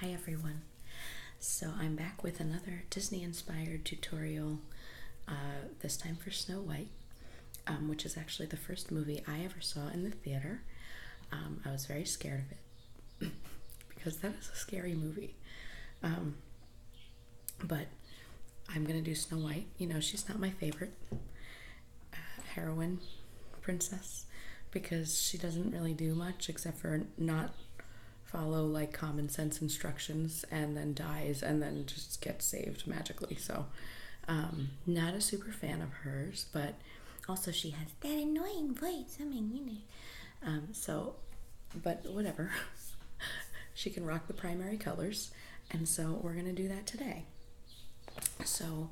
Hi everyone. So I'm back with another Disney inspired tutorial, uh, this time for Snow White, um, which is actually the first movie I ever saw in the theater. Um, I was very scared of it because that is a scary movie. Um, but I'm gonna do Snow White. You know, she's not my favorite. Heroin princess because she doesn't really do much except for not follow like common sense instructions and then dies and then just gets saved magically. So, um, not a super fan of hers, but also she has that annoying voice. I mean, you know. Um, so, but whatever. she can rock the primary colors, and so we're gonna do that today. So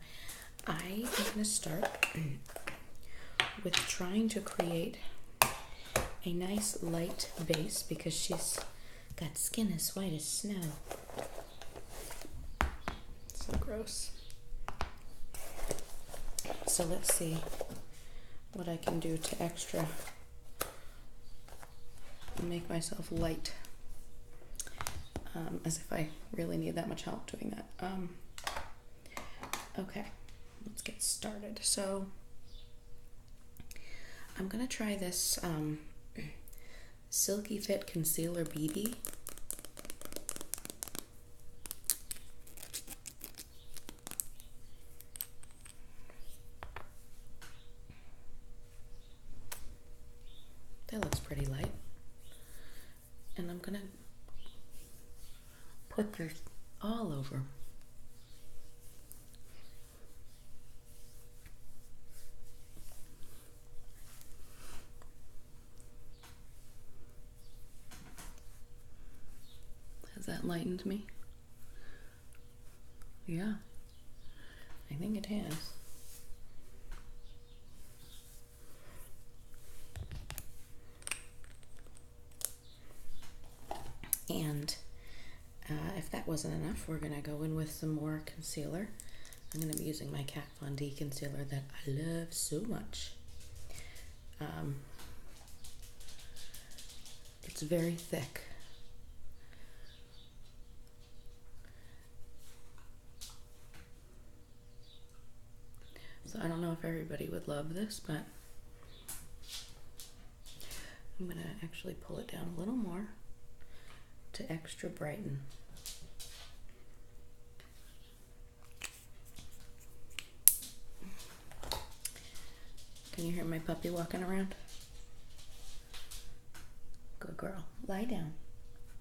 I am going to start with trying to create a nice light base because she's got skin as white as snow. So gross. So let's see what I can do to extra make myself light. Um, as if I really need that much help doing that. Um, Okay, let's get started. So I'm gonna try this um, Silky Fit Concealer BB. That looks pretty light and I'm going to put this all over. Has that lightened me? Yeah, I think it has. And uh, if that wasn't enough, we're going to go in with some more concealer. I'm going to be using my Kat Von D concealer that I love so much. Um, it's very thick. So I don't know if everybody would love this, but I'm going to actually pull it down a little more to extra brighten. Can you hear my puppy walking around? Good girl. Lie down.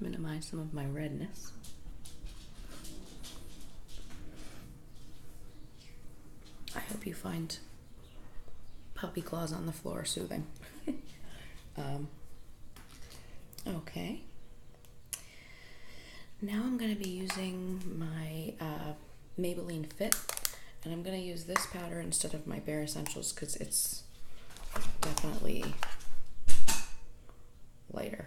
minimize some of my redness. I hope you find puppy claws on the floor soothing. Um, okay. Now I'm going to be using my uh, Maybelline Fit, and I'm going to use this powder instead of my Bare Essentials because it's definitely lighter.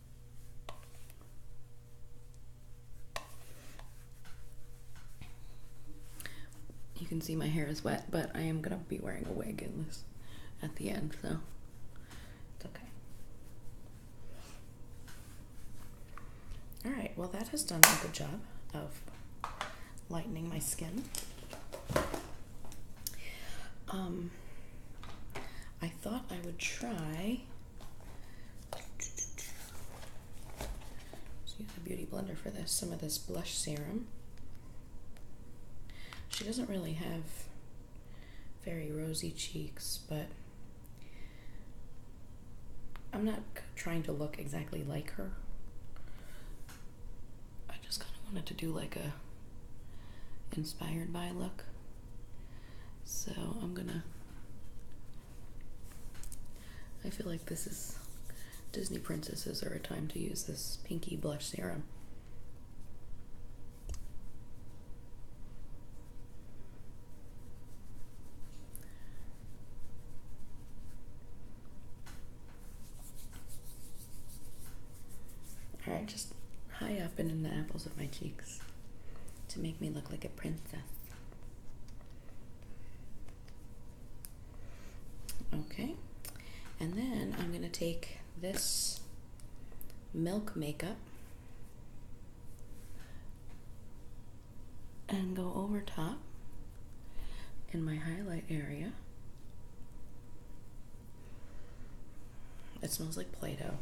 You can see my hair is wet, but I am gonna be wearing a wig in this at the end, so it's okay. All right, well, that has done a good job of lightening my skin. Um, I thought I would try so use a beauty blender for this. Some of this blush serum. She doesn't really have very rosy cheeks, but I'm not trying to look exactly like her. I just kind of wanted to do like a inspired by look. So I'm gonna I feel like this is Disney princesses are a time to use this pinky blush serum. All right, just high up and in the apples of my cheeks to make me look like a princess. Okay, and then I'm going to take this milk makeup and go over top in my highlight area. It smells like Play Doh.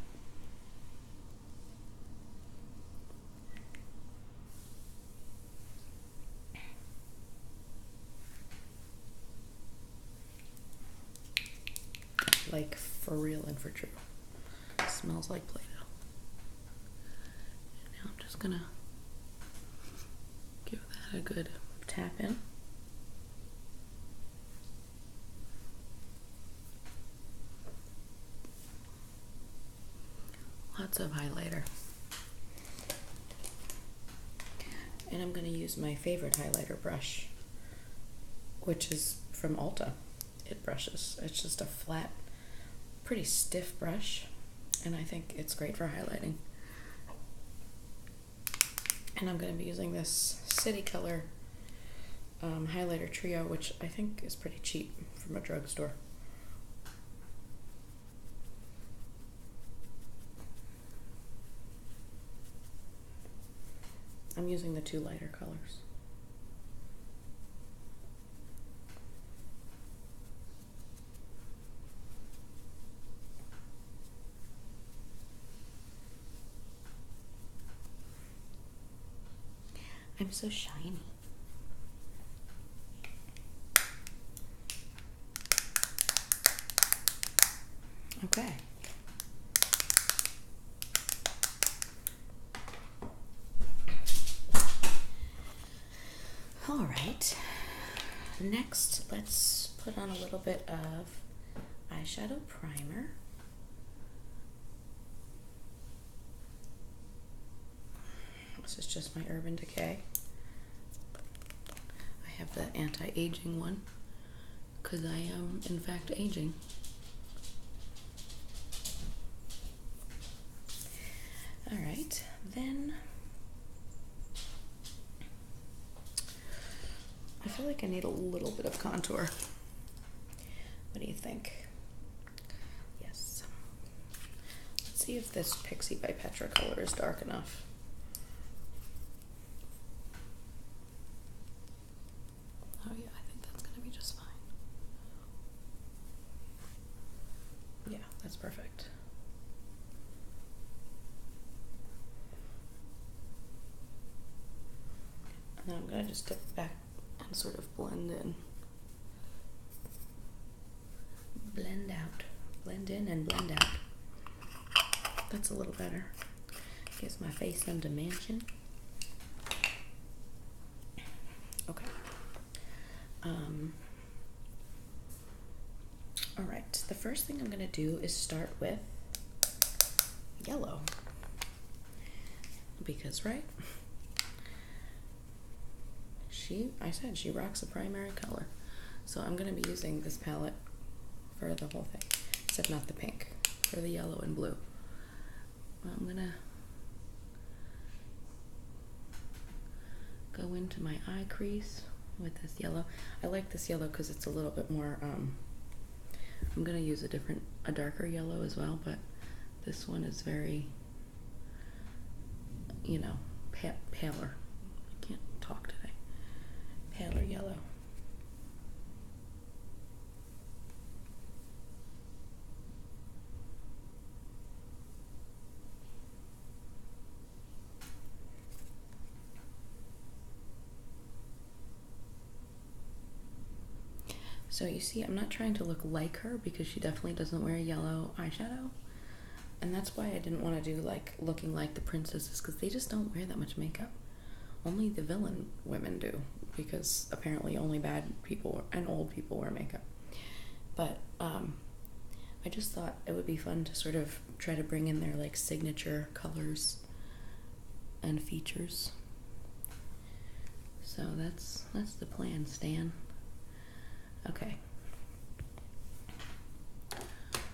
Like for real and for true. smells like Play Doh. Now I'm just gonna give that a good tap in. Lots of highlighter. And I'm going to use my favorite highlighter brush, which is from Alta. It brushes. It's just a flat, pretty stiff brush, and I think it's great for highlighting. And I'm going to be using this City Color um, highlighter trio, which I think is pretty cheap from a drugstore. I'm using the two lighter colors. I'm so shiny. Okay. All right. Next, let's put on a little bit of eyeshadow primer. This is just my Urban Decay. I have the anti aging one because I am, um, in fact, aging. All right, then. I feel like I need a little bit of contour. What do you think? Yes. Let's see if this Pixie by Petra color is dark enough. Oh yeah, I think that's gonna be just fine. Yeah, that's perfect. And I'm gonna just dip back and sort of blend in. Blend out. Blend in and blend out. That's a little better. Gives my face some dimension. Okay. Um, all right, the first thing I'm going to do is start with yellow. Because, right? She, I said, she rocks a primary color. So I'm going to be using this palette for the whole thing, except not the pink, for the yellow and blue. I'm going to go into my eye crease with this yellow. I like this yellow because it's a little bit more um, I'm gonna use a different, a darker yellow as well, but this one is very, you know, paler. I can't talk today. Paler yellow. So you see, I'm not trying to look like her because she definitely doesn't wear yellow eyeshadow. And that's why I didn't want to do like looking like the princesses because they just don't wear that much makeup. Only the villain women do because apparently only bad people and old people wear makeup. But um, I just thought it would be fun to sort of try to bring in their like signature colors and features. So that's that's the plan, Stan. Okay.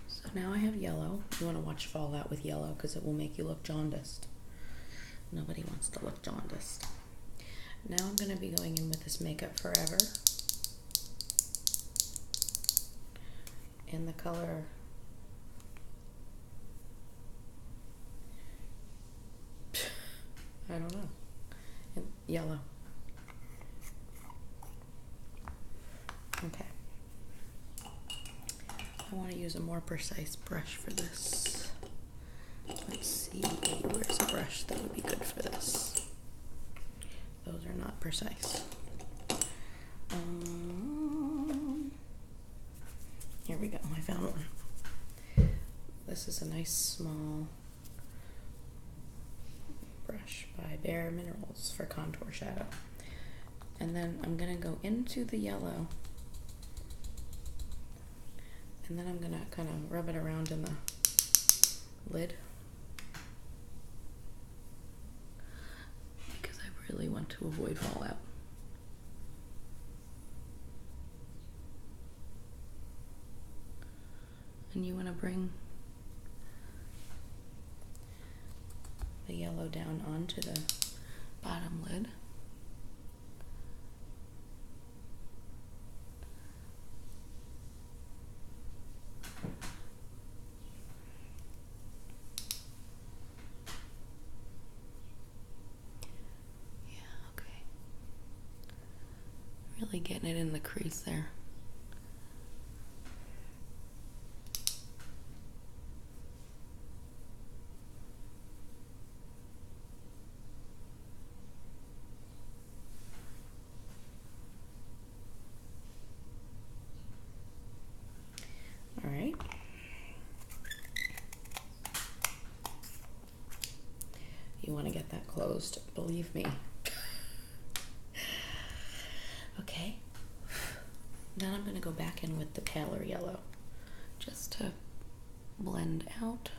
So now I have yellow. You want to watch fall out with yellow because it will make you look jaundiced. Nobody wants to look jaundiced. Now I'm going to be going in with this Makeup Forever in the color I don't know. yellow. Okay. I want to use a more precise brush for this. Let's see, where's a brush that would be good for this? Those are not precise. Um, here we go. I found one. This is a nice small brush by Bare Minerals for contour shadow. And then I'm going to go into the yellow. And then I'm going to kind of rub it around in the lid. Because I really want to avoid fallout. And you want to bring the yellow down onto the bottom lid. Yeah, okay. Really getting it in the crease there. All right. You want to get that closed, believe me. okay. Then I'm going to go back in with the paler yellow just to blend out.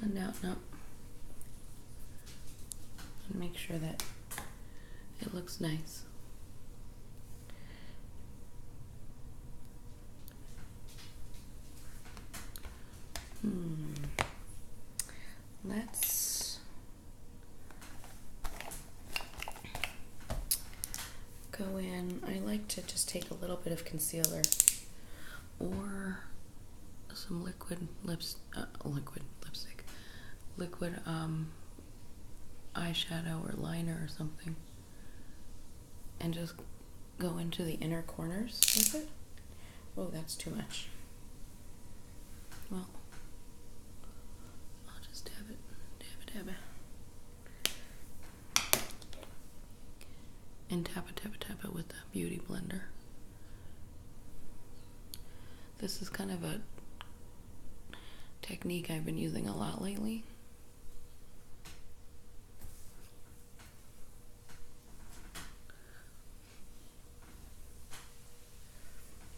Blend out, Nope make sure that it looks nice. Hmm. Let's go in. I like to just take a little bit of concealer or some liquid lips uh, liquid lipstick liquid um eyeshadow or liner or something and just go into the inner corners with it oh that's too much well I'll just dab it dab it dab it and tap it tap it tap it with the beauty blender this is kind of a technique I've been using a lot lately.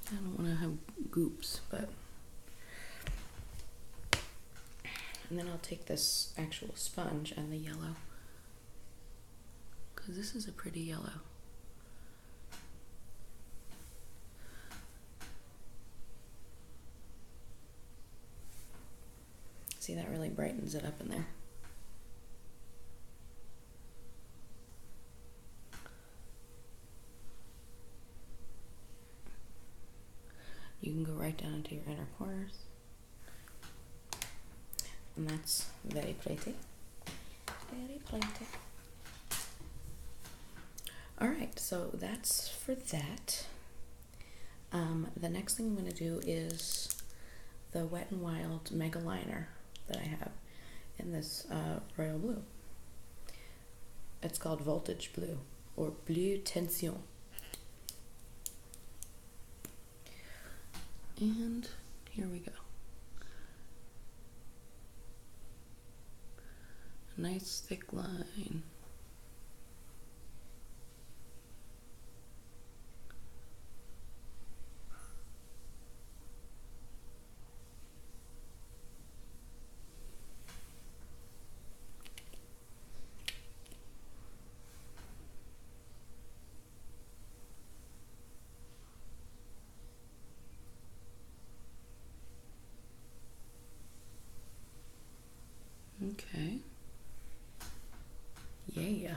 I don't want to have goops, but. And then I'll take this actual sponge and the yellow. Because this is a pretty yellow. See, that really brightens it up in there. You can go right down into your inner pores. And that's very pretty. All right, so that's for that. Um, the next thing I'm going to do is the Wet n Wild Mega Liner that I have in this uh, royal blue. It's called Voltage Blue or Blue Tension. And here we go. A nice thick line. Okay. Yeah.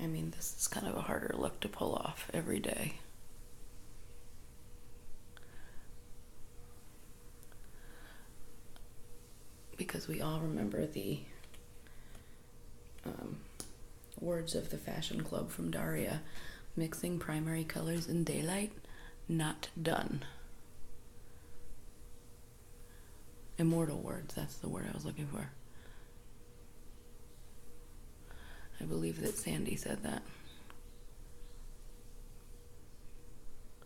I mean, this is kind of a harder look to pull off every day because we all remember the um, words of the fashion club from Daria mixing primary colors in daylight, not done. Immortal words, that's the word I was looking for. I believe that Sandy said that.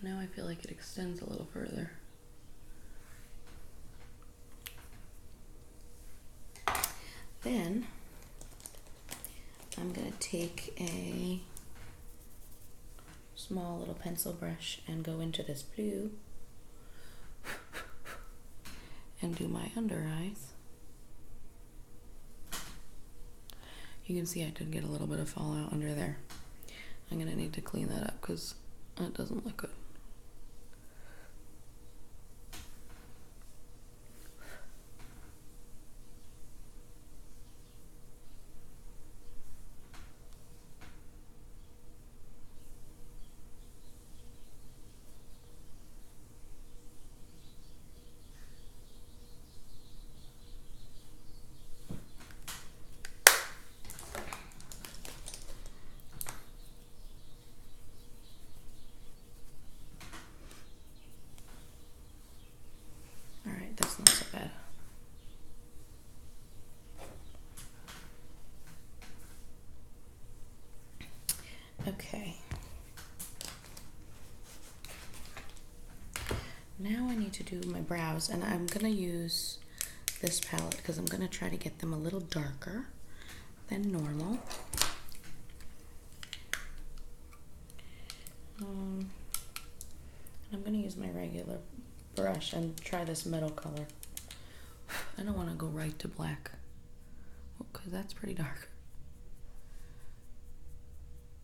And now I feel like it extends a little further. Then I'm going to take a small little pencil brush and go into this blue and do my under eyes. You can see I did get a little bit of fallout under there. I'm going to need to clean that up because it doesn't look good. All right, that's not so bad. Okay. Now I need to do my brows, and I'm gonna use this palette because I'm gonna try to get them a little darker than normal. Um, I'm gonna use my regular brush and try this metal color. I don't want to go right to black because that's pretty dark.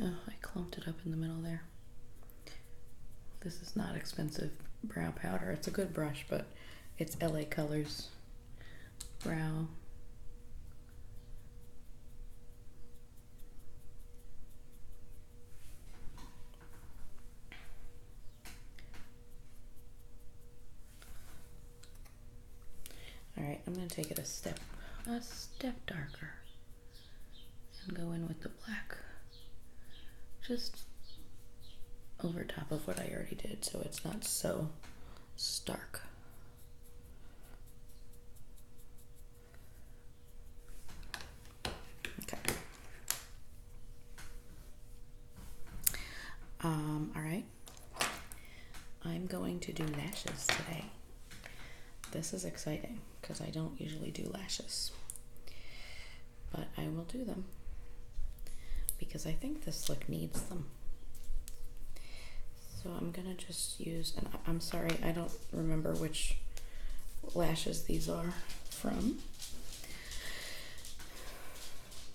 Oh, I clumped it up in the middle there. This is not expensive brow powder. It's a good brush, but it's LA Colors brow. All right, I'm going to take it a step a step darker and go in with the black just over top of what I already did so it's not so stark. Okay. Um, all right. I'm going to do lashes today. This is exciting because I don't usually do lashes. But I will do them because I think this look needs them. So I'm gonna just use, and I'm sorry, I don't remember which lashes these are from.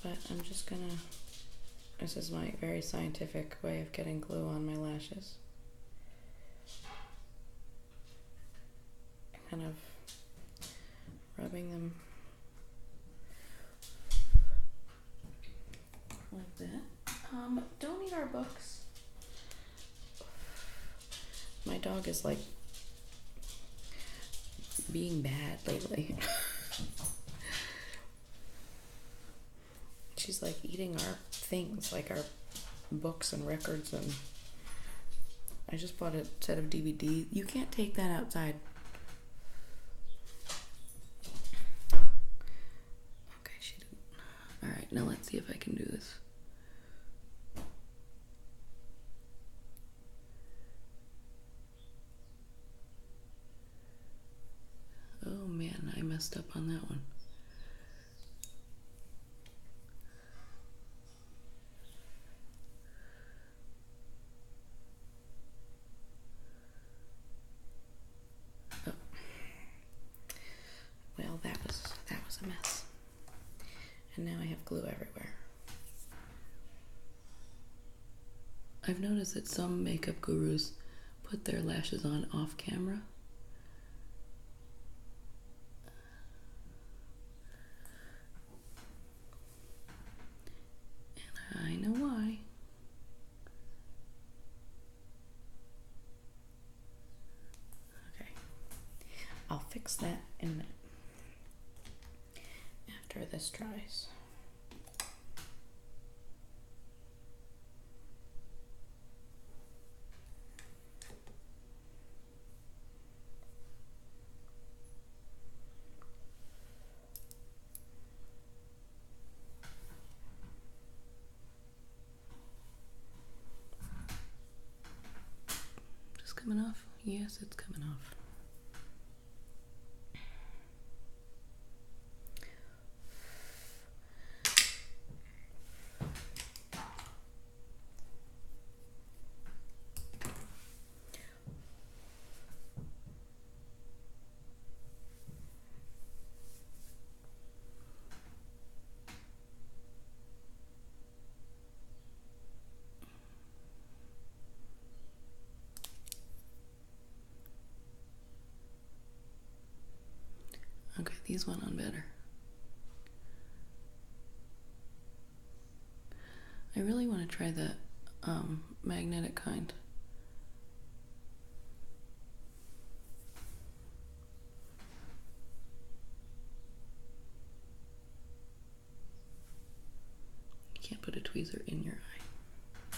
But I'm just gonna. This is my very scientific way of getting glue on my lashes. Kind of rubbing them like that. Um, don't eat our books. My dog is like being bad lately. She's like eating our things, like our books and records and I just bought a set of DVDs. You can't take that outside. Okay, she didn't. All right, now let's see if I can do this. Oh man, I messed up on that one. Oh. Well, that was that was a mess and now I have glue everywhere. I've noticed that some makeup gurus put their lashes on off camera. And I know why. Okay, I'll fix that in a after this dries. Just coming off? Yes, it's coming off. Okay, these went on better. I really want to try the um, magnetic kind. You can't put a tweezer in your eye.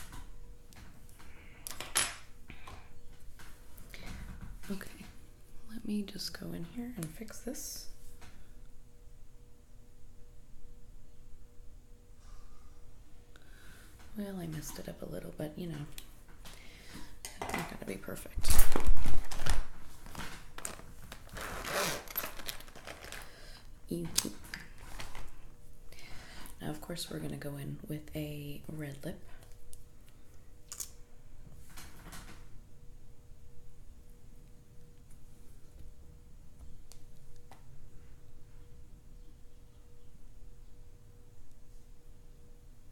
Okay, let me just go in here and fix this. Well, I messed it up a little, but you know, not going to be perfect. Now, of course, we're going to go in with a red lip.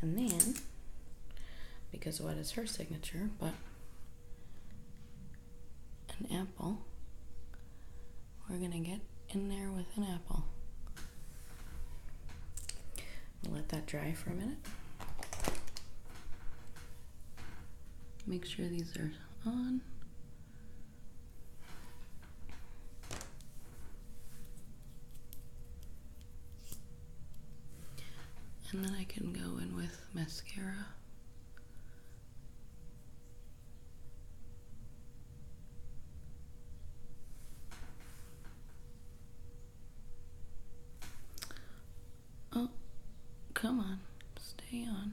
And then, because what is her signature but an apple, we're going to get in there with an apple. let that dry for a minute. Make sure these are on. And then I can go in with mascara. Oh, come on, stay on.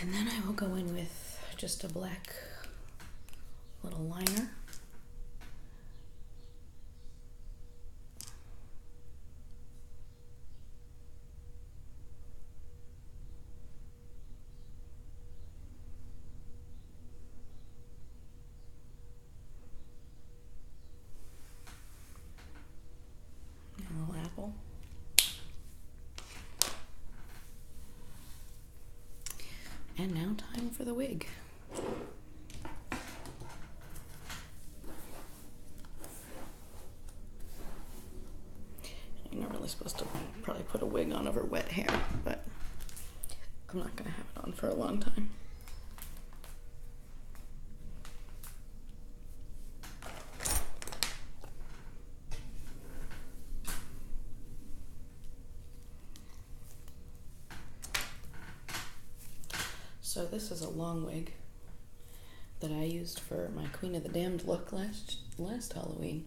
And then I will go in with just a black little liner little apple. And now, time for the wig. I'm not really supposed to probably put a wig on over wet hair, but I'm not going to have it on for a long time. So this is a long wig that I used for my Queen of the Damned look last last Halloween.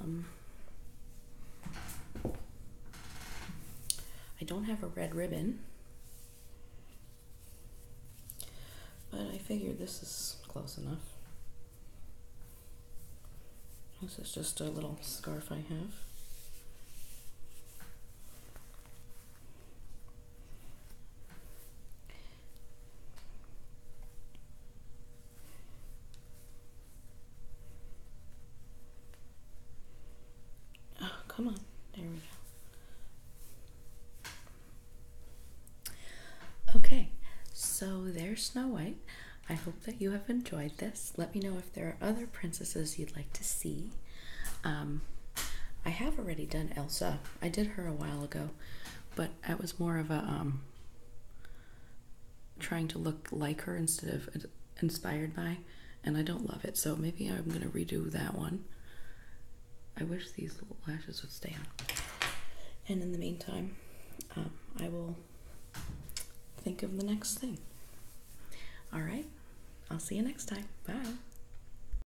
Um, I don't have a red ribbon, but I figured this is close enough. This is just a little scarf I have. Oh, come on. There we go. Okay, so there's Snow White. I hope that you have enjoyed this. Let me know if there are other princesses you'd like to see. Um, I have already done Elsa. I did her a while but I was more of a um, trying to look like her instead of inspired by, and I don't love it. So maybe I'm gonna redo that one. I wish these lashes would stay on. And in the meantime, um, I will think of the next thing. All right, I'll see you next time. Bye.